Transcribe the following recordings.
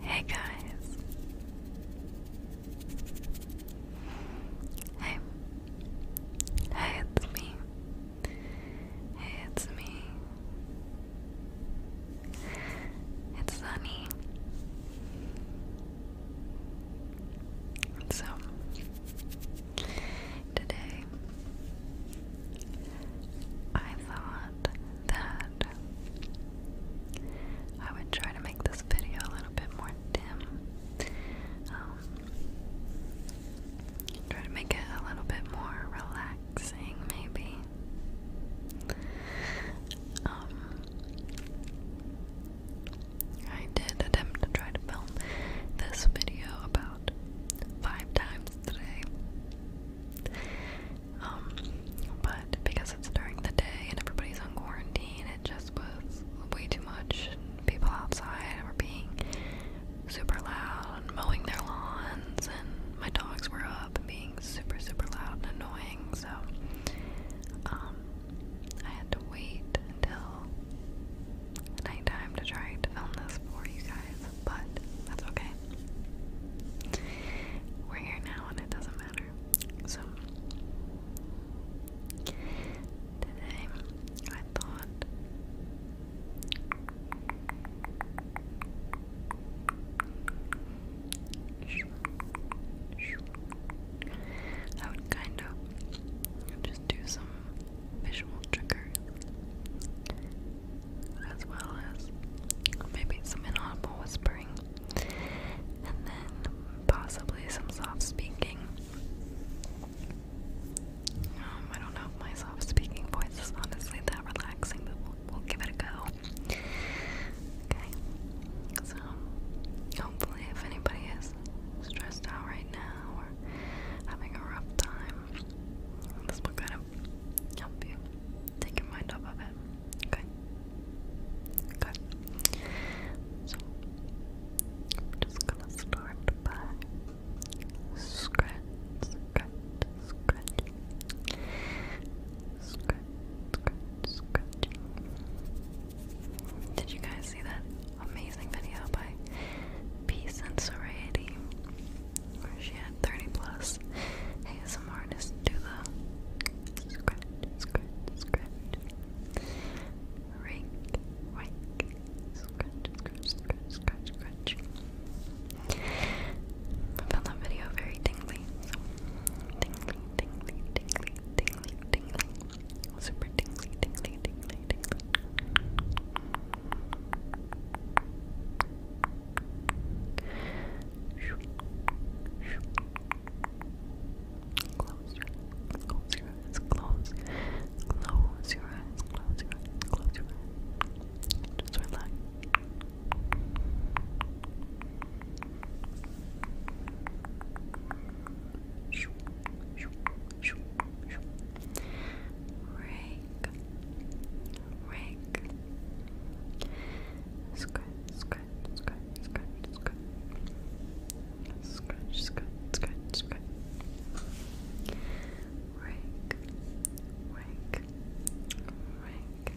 Hey guys. Hey. Hey, it's me. Hey, it's me. It's sunny. So today I thought that I would try to make this video a little bit more dim. Um, try to make it a little bit more relaxing, maybe. Um, I did attempt to try to film this video about five times today. Um, but because it's during the day and everybody's on quarantine, it just was way too much. People outside were being super loud and mowing their lawns, and my dogs were up and being super, super loud and annoying. So, um, I had to wait until nighttime to try to film this for you guys but that's okay. We're here now and it doesn't matter. So, today I thought I would kind of just do some visual triggers as well as maybe some inaudible whispering, and then possibly some soft speaking. Um, I don't know if my soft speaking voice is honestly that relaxing, but we'll give it a go. Okay, so hopefully, if anybody is stressed out right now or having a rough time, this will kind of help you take your mind off of it. Okay. Okay. So just gonna start by scratch, scratch, scratch, scratch, scratch, scratch. Did you guys see that amazing video by Peace and Serenity? Or she had 30 plus ASM artists do the scratch, scratch, scratch. Rake, rake, scratch, scratch, scratch, scratch, scratch. I found that video very tingly. So tingly, tingly, tingly, tingly, tingly. Super tingly, tingly, tingly, tingly. Close your close your eyes, close, close your eyes, close your eyes, close your eyes. Just relax. Shoo, Rick. Scratch, scratch, scratch, scratch, scratch. Scratch, scratch, scratch, scratch. Rick. Rick. Rick. Rick,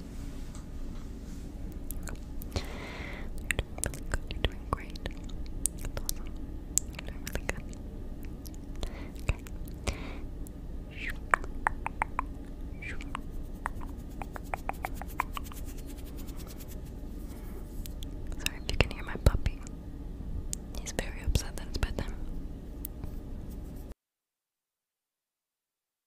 You're doing really good. You're doing great. That's awesome. You're doing really good. Okay. Sorry if you can hear my puppy. He's very upset that it's bedtime.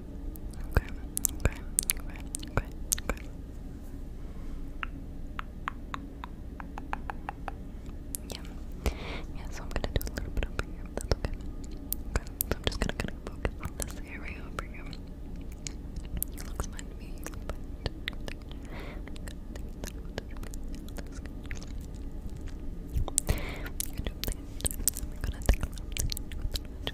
Okay, okay, okay, okay, okay. Yeah. Yeah, so I'm gonna do a little bit over here, that's okay. Okay. So I'm just gonna kinda focus on this area over here. You look fine to me, you look fine. I'm gonna take a little bit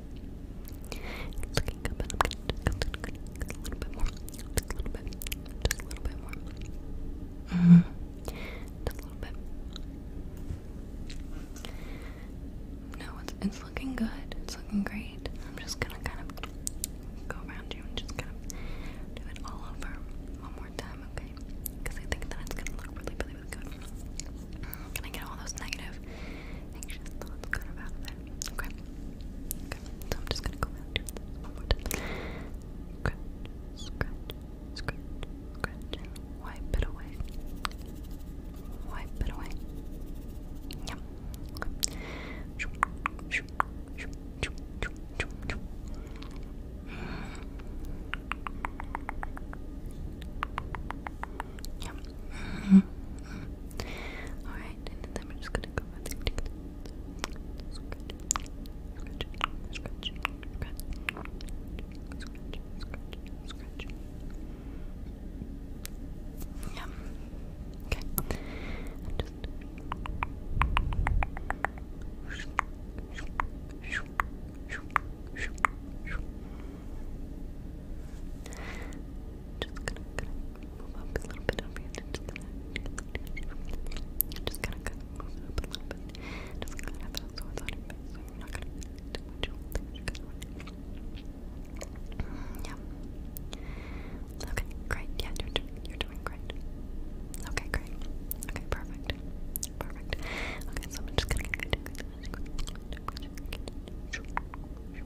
Looking up just a little bit more, just a little bit, just a little bit more. Mm Just a little bit. No, it's it's looking good. It's looking great. I'm just gonna kind of go around you and just kind of do it all over one more time, okay? Because I think that it's gonna look really, really, good. Can I get all those negative anxious Okay. Okay. So I'm just gonna go around one more time. Scratch, scratch, scratch, scratch, wipe it away. Wipe it away. Yep. Okay. Yep. Mm -hmm. Alright, and then we're just gonna go Yeah. Okay just gonna, move up a little bit Just gonna, move up a little bit. Just gonna have it so it's on your you gonna feel too much. Yeah. Okay, great. Yeah, you're doing, you're doing great. Okay, great. Okay, perfect. Perfect. Okay, so I'm Just gonna yeah.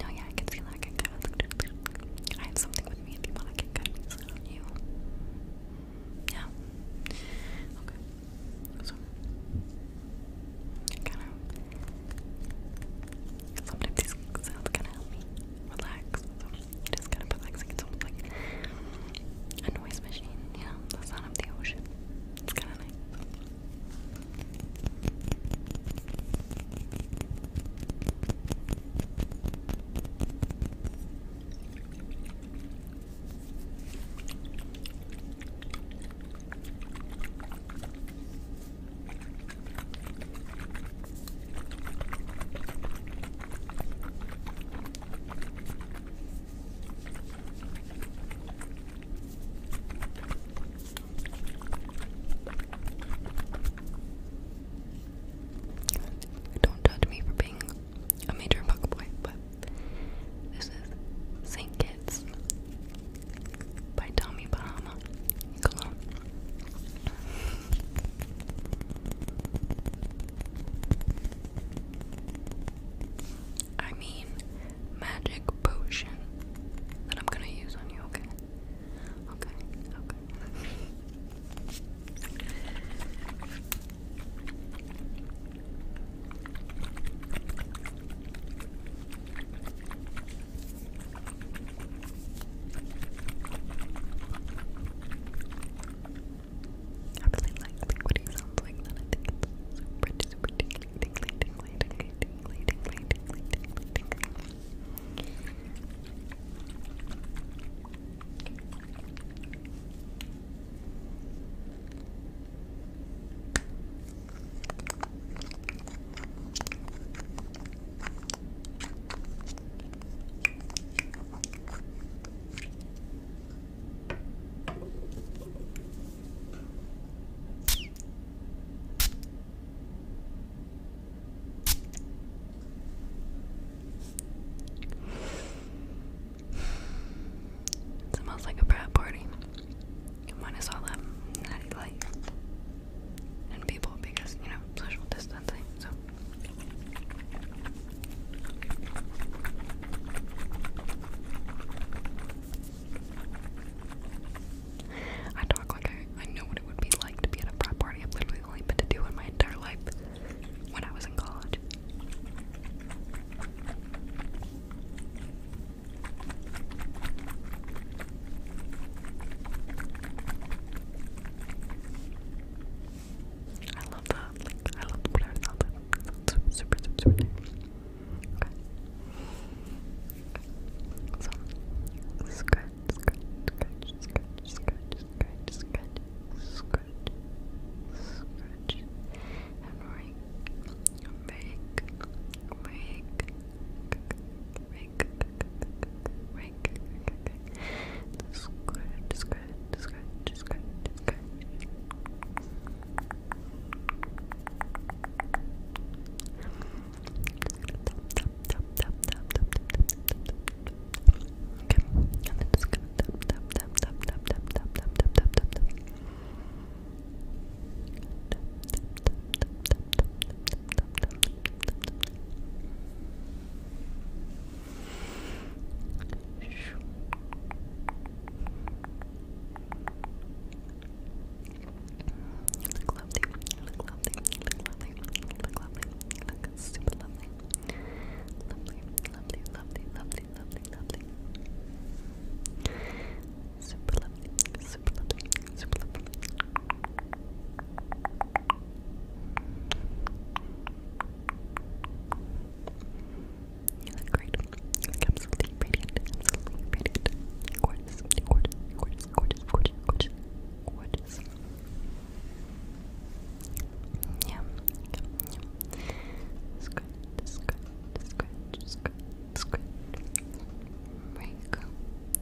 No, yeah, I can see that I have something with me if you want to get cut. It's not on Yeah. Okay. So, kind of. Sometimes these sounds kind of help me relax. So kind of relaxing. It's almost like a noise machine, you the sound of the ocean. It's kind of nice. Don't judge me for being a major fuckboy, but this is St. Kitts by Tommy Bahama. Cologne. I mean, magic potion that I'm gonna use on you, okay? Okay, okay. I really like liquidy sounds like that. I think it's super, super tingly, tingly, tingly, tingly, tingly, tingly, tingly, tingly, tingly. It smells like a frat party. Minus all that natty light and people because you know social distancing. So I talk like I, I know what it would be like to be at a frat party. i literally only been to two in my entire life when I was in college. I love that. I love the blur sound. That's super, super, super, super nice. Okay. So, scratch, scratch, scratch, scratch, scratch, scratch, scratch, scratch, and rake, rake, rake, Rank, rank, scratch, scratch, scratch, scratch, scratch. Okay, and then just gonna tap, tap, tap, tap, tap, tap, tap, tap, tap, tap, tap, tap. Tap, tap, tap, tap, tap, tap, tap, tap, tap, tap. You look lovely, you look lovely, you look lovely, you look lovely, you look super lovely. Lovely, lovely, lovely, lovely, lovely, lovely. Super lovely, super lovely, super lovely. You look great. You look absolutely radiant. Absolutely radiant. Gorgeous, gorgeous, gorgeous, gorgeous, gorgeous, gorgeous, Yeah, yeah, yeah. Scratch, scratch, scratch, scratch,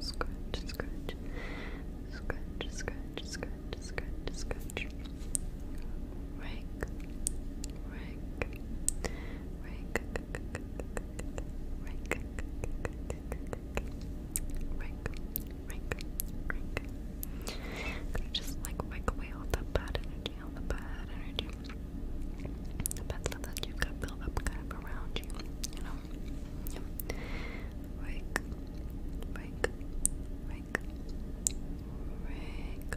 scratch, scratch, scratch, scratch, scratch, scratch, scratch. Rake, rake, rake, rake, rake, rake, rake. Gonna just like wipe away all the bad energy, all the bad energy, the bad stuff that you've got built up kind of around you, you know. Yep. Rake. Rake. Rake. Rake. Rake.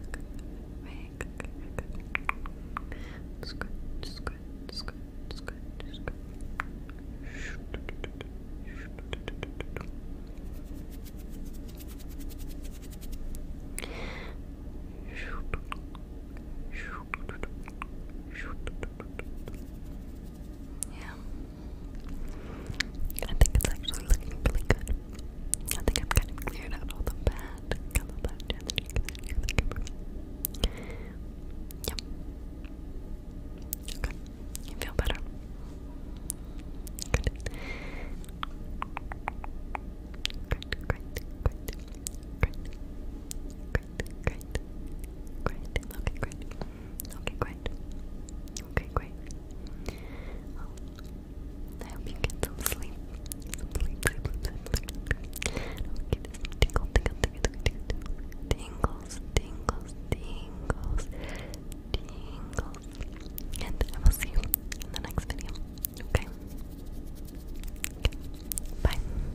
Scratch, scratch, scratch, scratch, scratch. Yeah. I think it's actually looking really good. I think I've kind of cleared out all the bad color that Yep. Okay. You feel better? Good. Great, great, great, great, great great, great, okay, great, okay, great, okay, great. I hope you get some sleep, some sleep, sleep, sleep, sleep. Don't get some tingles, tingles, tingles, tingles. And I will see you in the next video. Okay. okay. Bye.